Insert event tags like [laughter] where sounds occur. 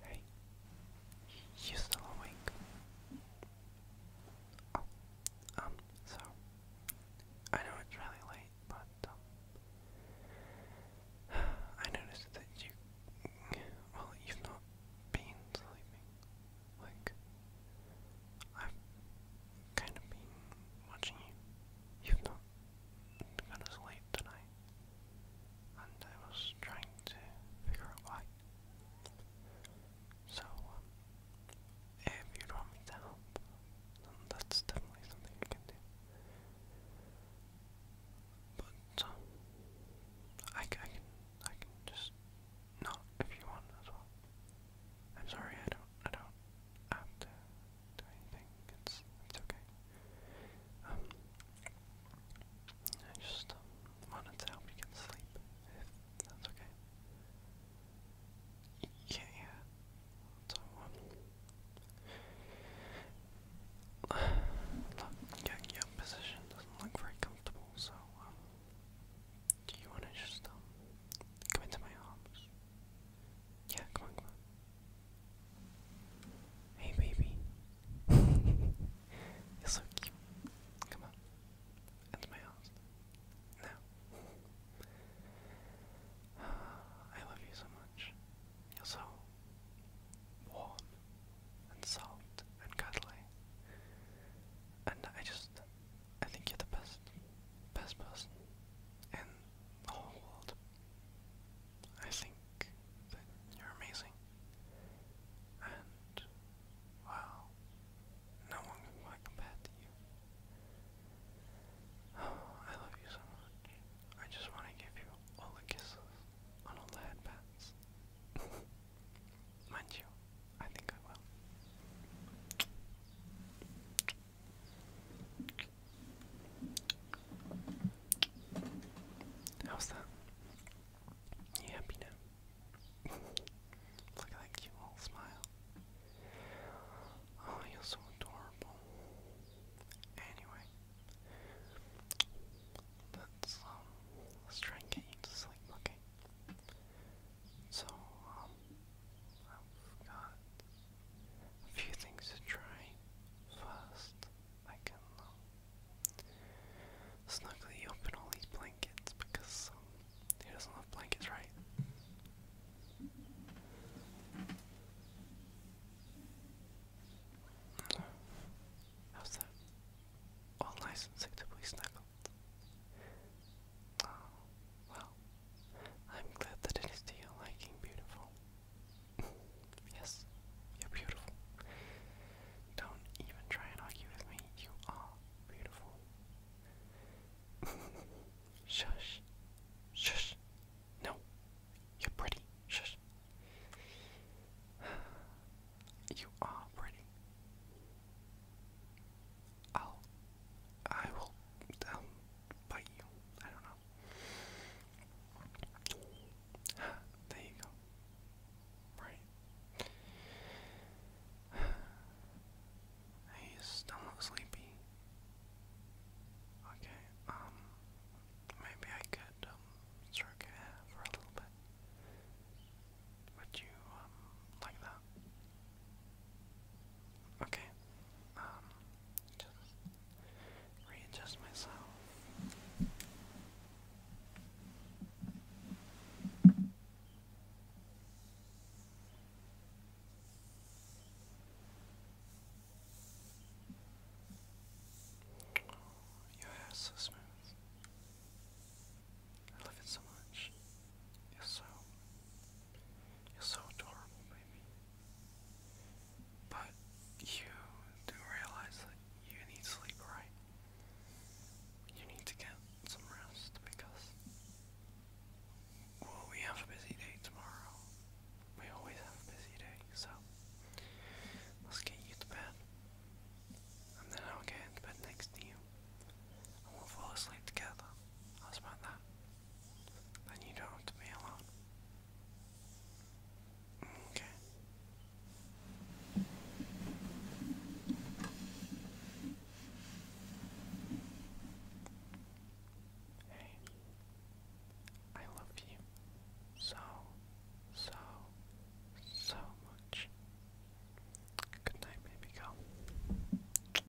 Hey, you still awake? Oh, um, so, I know it's really late, but, um, [sighs] I noticed that you, well, you've not been sleeping, like, I've kind of been watching you You've not gone to sleep tonight, and I was trying to figure out why. So, um, if you want me to help, then that's definitely something I can do. But um, I, can I can just not if you want as well. I'm sorry I don't I don't have to do anything. It's it's okay. Um, I just wanted to help you get sleep. that's okay. Yeah, yeah. So, [sighs] look, your, position doesn't look very comfortable, so, um, do you want to just, um, come into my arms? Yeah, come on, come on. Hey, baby. [laughs] You're so cute. Come on. That's my house. No. [sighs] I love you so much. You're so warm and soft and cuddly. And I just, I think you're the best, best person in the whole world. I think that you're amazing. And, wow, no one can quite compare to you. [sighs] I love you so much. I just want to give you all the kisses on all the headbands. [laughs] Mind you, I think I will. How's that? You happy now? [laughs] Look at that cute little smile. Oh, you're so adorable. Anyway, let's um, try and get you to sleep, okay? So um, I've got a few things to try. First, I can snugly open all these blankets because um, doesn't love blankets, right? How's that? All nice and suitably snuggled. Oh, well, I'm glad that it is to your liking, beautiful. [laughs] yes, you're beautiful. Don't even try and argue with me, you are beautiful. [laughs] Shush. Shush. No. You're pretty. Shush. [sighs] You are pretty. I'll I will um bite I don't know. [sighs] there you go. Right. [sighs] Hey, you still look sleepy. Okay, um, maybe I could, um, stroke your hair for a little bit. Would you, um, like that? Okay, um, just readjust myself. Your hair is so smooth. I love it so much. You're so you're so adorable, baby. But you do realize that you need sleep, right? You need to get some rest because well, we have a busy day tomorrow. We always have a busy day, so let's get you to bed. And then I'll get into bed next to you. And we'll fall asleep together. How's about that? Then you don't have to be alone. Okay. I love you so, so, so much. Good night, baby girl.